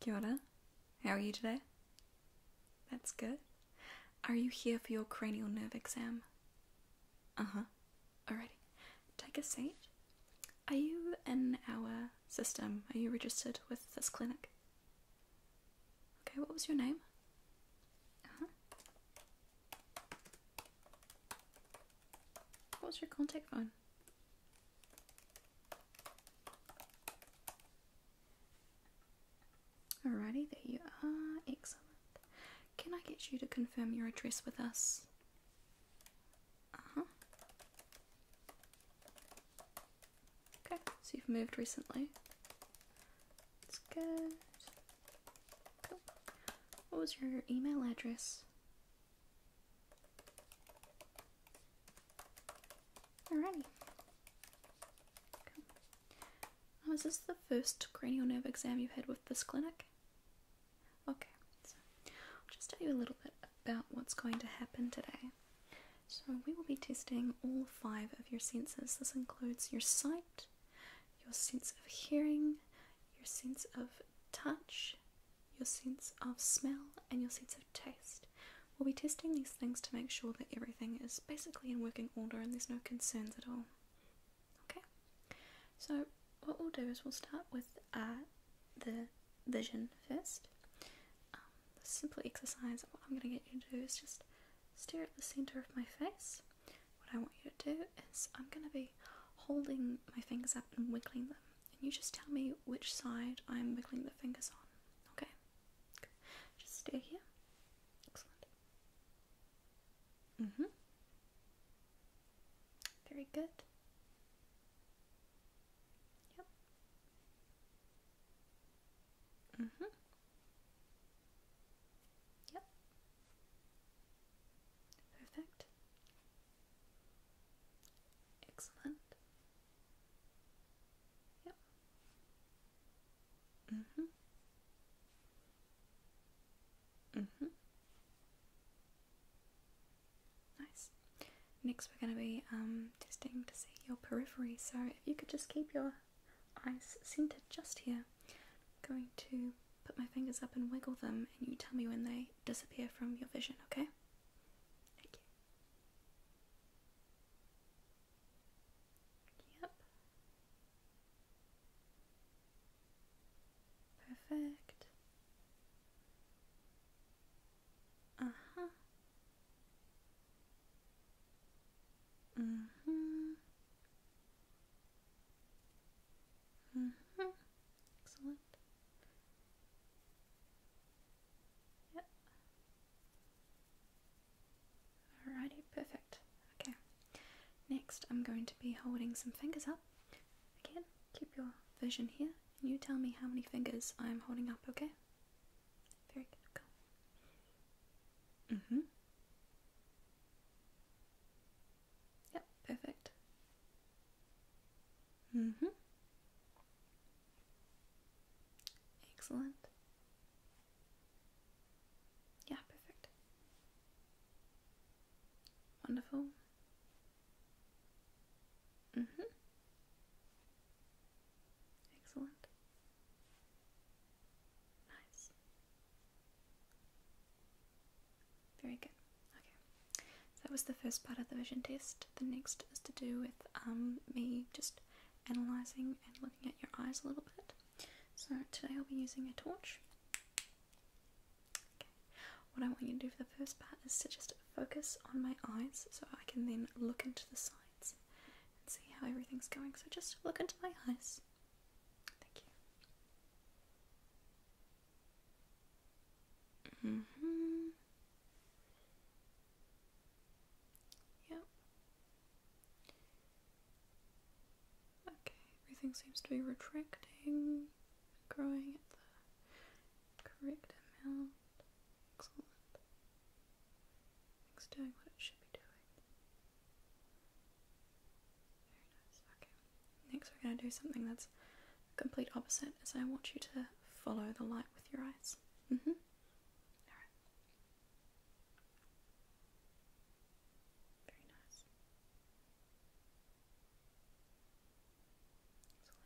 Kia How are you today? That's good. Are you here for your cranial nerve exam? Uh huh. Alrighty. Take a seat. Are you in our system? Are you registered with this clinic? Okay, what was your name? Uh huh. What was your contact phone? Alrighty, there you are. Excellent. Can I get you to confirm your address with us? Uh huh. Okay, so you've moved recently. It's good. Cool. What was your email address? Alrighty. Okay. Oh, this the first cranial nerve exam you've had with this clinic? Okay, so i just tell you a little bit about what's going to happen today. So, we will be testing all five of your senses. This includes your sight, your sense of hearing, your sense of touch, your sense of smell, and your sense of taste. We'll be testing these things to make sure that everything is basically in working order and there's no concerns at all. Okay, so what we'll do is we'll start with uh, the vision first. Um, simple exercise, what I'm going to get you to do is just stare at the center of my face what I want you to do is I'm going to be holding my fingers up and wiggling them. And you just tell me which side I'm wiggling the fingers on. Okay? Good. Just stay here. Excellent. hmm Very good. Yep. hmm Yep. Perfect. Excellent. Yep. Mhm. Mhm. Nice. Next, we're going to be um, testing to see your periphery. So, if you could just keep your eyes centered just here. I'm going to put my fingers up and wiggle them, and you tell me when they disappear from your vision, okay? Thank you. Yep. Perfect. Uh huh. Mm hmm. Mm-hmm. Excellent. Yep. Alrighty, perfect. Okay. Next, I'm going to be holding some fingers up. Again, keep your vision here. And you tell me how many fingers I'm holding up, okay? Very good. Cool. Mm hmm. Yep, perfect. Mhm. Mm Excellent. Yeah, perfect. Wonderful. Mhm. Mm Excellent. Nice. Very good. Okay. that was the first part of the vision test. The next is to do with um, me just analysing and looking at your eyes a little bit. So today I'll be using a torch. Okay. What I want you to do for the first part is to just focus on my eyes so I can then look into the sides and see how everything's going. So just look into my eyes. Thank you. Mm hmm Yep. Okay, everything seems to be retracting, growing at the correct amount. Excellent. It's doing what it should be doing. Next, we're going to do something that's complete opposite. Is I want you to follow the light with your eyes. Mm-hmm. Very nice.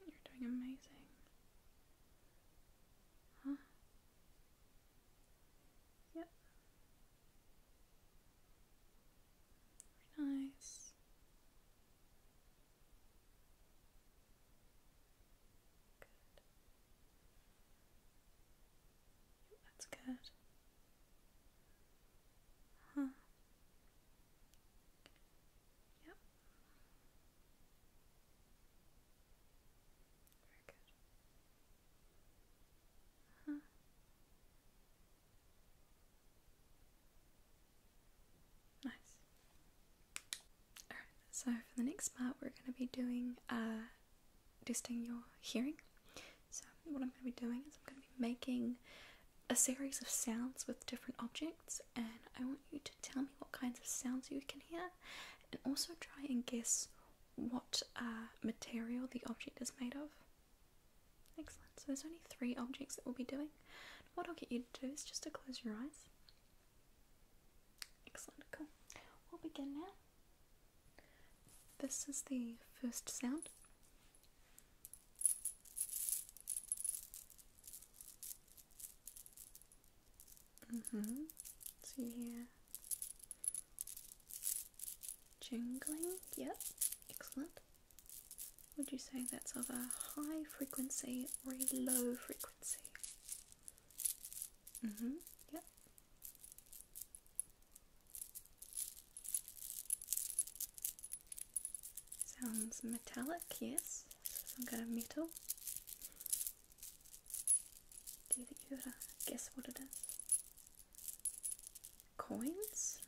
You're doing amazing. Yep. nice. Good. that's good. Huh. Yep. Very good. Nice. so for the next part, we're going to be doing uh, testing your hearing. So, what I'm going to be doing is I'm going to be making a series of sounds with different objects, and I want you to tell me what kinds of sounds you can hear, and also try and guess what uh, material the object is made of. Excellent. So there's only three objects that we'll be doing. What I'll get you to do is just to close your eyes. Excellent. Cool. We'll begin now. This is the first sound. Mm-hmm. Jingling, yep, excellent. Would you say that's of a high frequency or a low frequency? Mm hmm, yep. Sounds metallic, yes, some kind of metal. Do you think you gotta uh, guess what it is? Coins?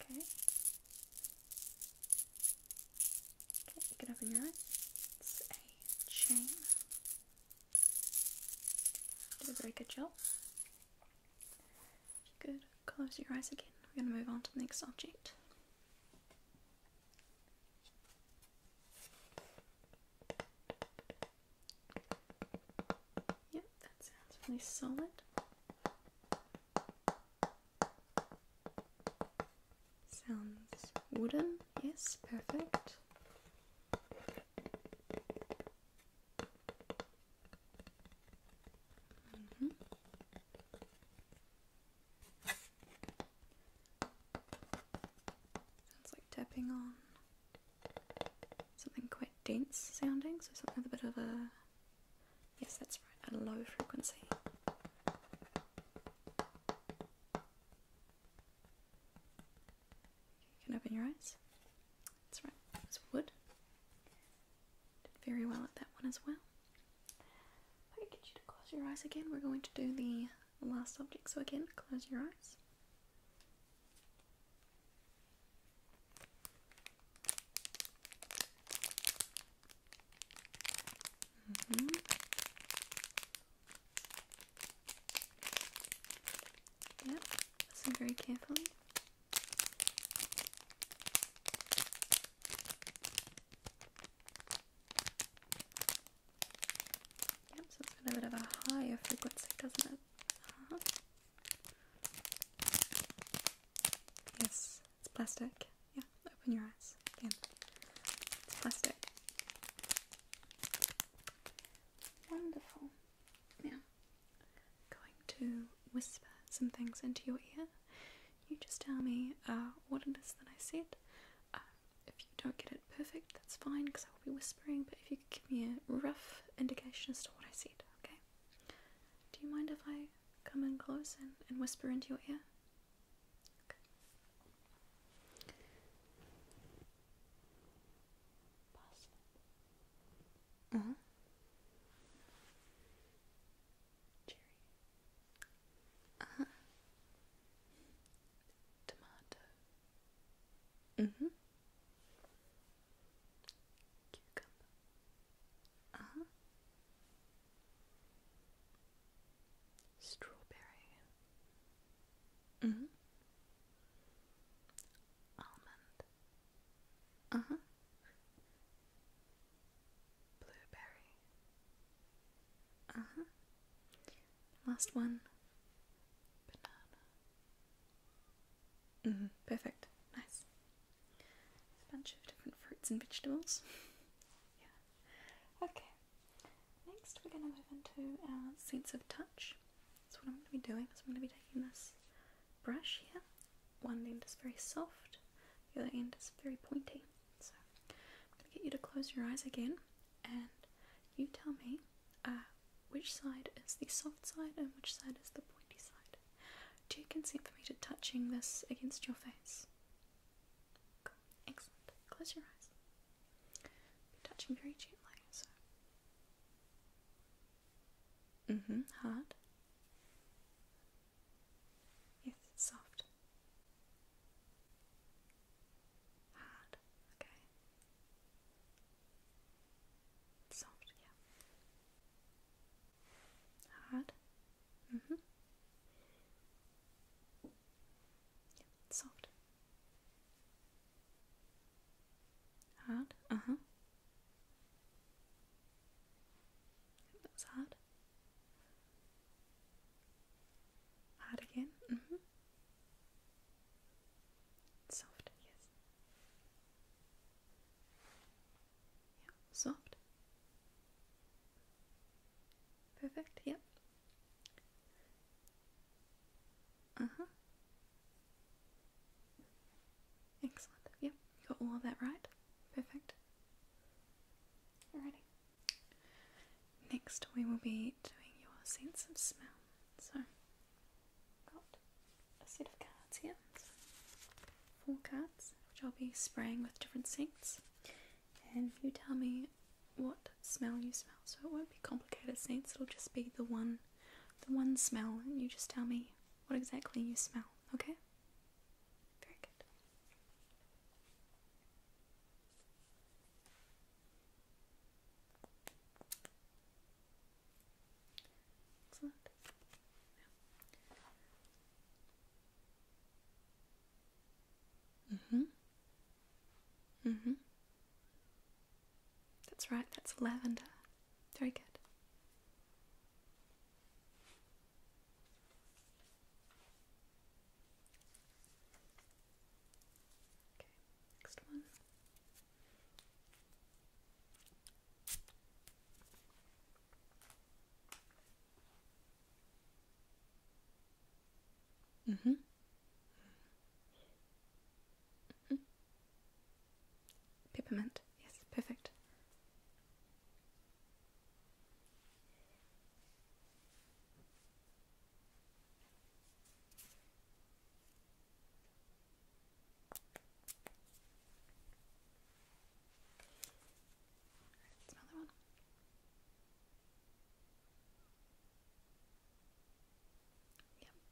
Okay. Okay, you open your eyes. It's a chain. Did a very good job. If you could close your eyes again, we're gonna move on to the next object. Yep, that sounds really solid. Sounds wooden, yes, perfect. Mm -hmm. Sounds like tapping on something quite dense sounding, so something with a bit of a yes, that's right, a low frequency. You can open your eyes. That's right, it's wood. Did very well at that one as well. I get you to close your eyes again, we're going to do the last object. So again, close your eyes. Mm -hmm. Yep, listen very carefully. Yep, so it's got a bit of a higher frequency, doesn't it? Uh-huh. Yes, it's plastic. Yeah, open your eyes again. It's plastic. Wonderful. Yeah. Going to whisper some things into your ear. You just tell me uh, what it is that I said. Uh, if you don't get it perfect, that's fine because I will be whispering, but if you could give me a rough indication as to what I said, okay? Do you mind if I come in close and, and whisper into your ear? Uh -huh. Uh huh tomato, mm-hmm, uh-huh, strawberry, mm-hmm, almond, uh-huh, blueberry, uh-huh. Last one. Banana. Mm-hmm, perfect. Nice. a bunch of different fruits and vegetables. yeah. Okay. Next, we're going to move into our sense of touch. That's what I'm going to be doing I'm going to be taking this brush here. One end is very soft. The other end is very pointy. So I'm going to get you to close your eyes again and you tell me uh, which side is the soft side and which side is the pointy side. Do you consent for me to touching this against your face? Excellent. Close your eyes. touching very gently. So. Mm-hmm. Hard. Yes, soft. Hard, okay. Soft, yeah. Hard. Mm-hmm. soft. Hard, uh-huh. That was hard. Hard again. Mm -hmm. Soft, yes. Yeah, soft. Perfect, yep. Uh-huh. Excellent. Yep, got all of that right. Perfect. Alrighty. Next, we will be doing your sense of smell. So, got a set of cards here, four cards, which I'll be spraying with different scents, and you tell me what smell you smell. So it won't be complicated scents; it'll just be the one, the one smell, and you just tell me what exactly you smell. Okay. Very good. Excellent. Yeah. Mhm. Mhm. That's right. That's lavender. Very good. Okay, next one. Mm-hmm. mm-hmm. Peppermint, yes, perfect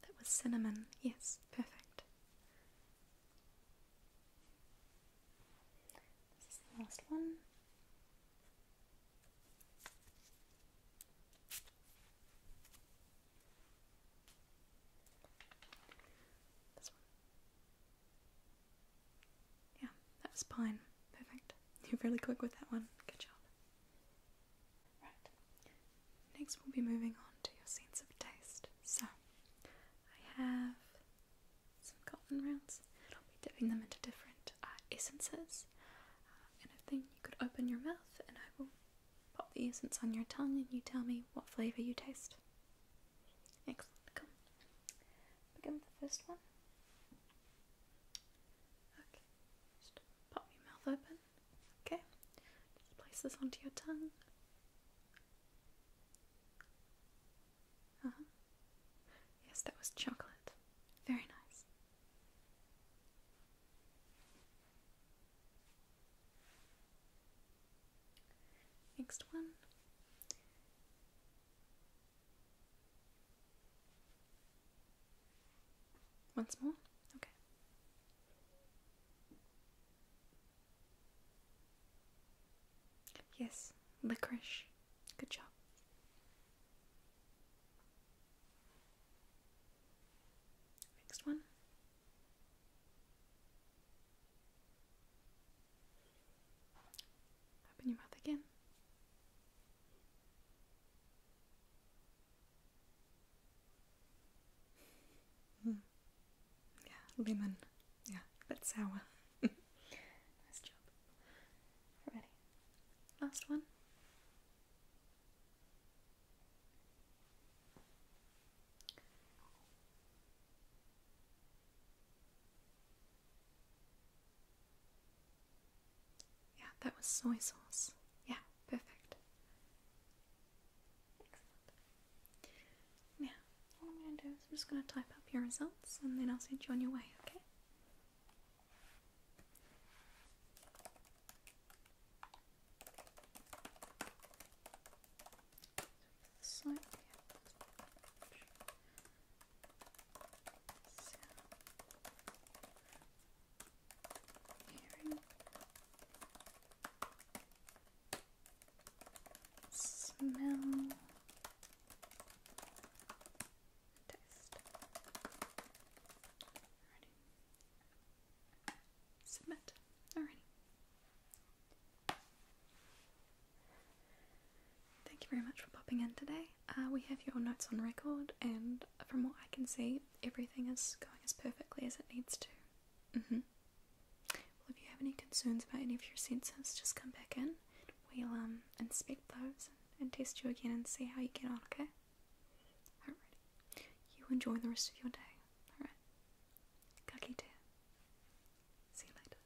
that was cinnamon. Yes, perfect. This is the last one. Yeah, that was pine. Perfect. You're fairly quick with that one. Good job. Right. Next, we'll be moving on to your sense of taste. So, I have some cotton rounds, I'll be dipping them into different uh, essences. Uh, and if you could open your mouth, and I will pop the essence on your tongue, and you tell me what flavour you taste. Excellent. Come. Begin with the first one. Okay. Just pop your mouth open. Okay. Just place this onto your tongue. Uh -huh. Yes, that was chocolate. Very nice. Next one. Once more? Okay. Yes, licorice. Good job. Next one. Open your mouth again. Hmm. Yeah, lemon. Yeah, a sour nice job. Ready. Last one. Yeah, that was soy sauce. Yeah, perfect. Excellent what I'm going to do is I'm just going to type up your results and then I'll send you on your way, okay? smell, taste. Ready. Submit. Alrighty. Thank you very much for popping in today. Uh, we have your notes on record, and from what I can see, everything is going as perfectly as it needs to. Mm-hmm. Well, if you have any concerns about any of your senses, just come back in. We'll um inspect those and, test you again and see how you get on. Okay. Alright. You enjoy the rest of your day. Alright. Kaki See you later.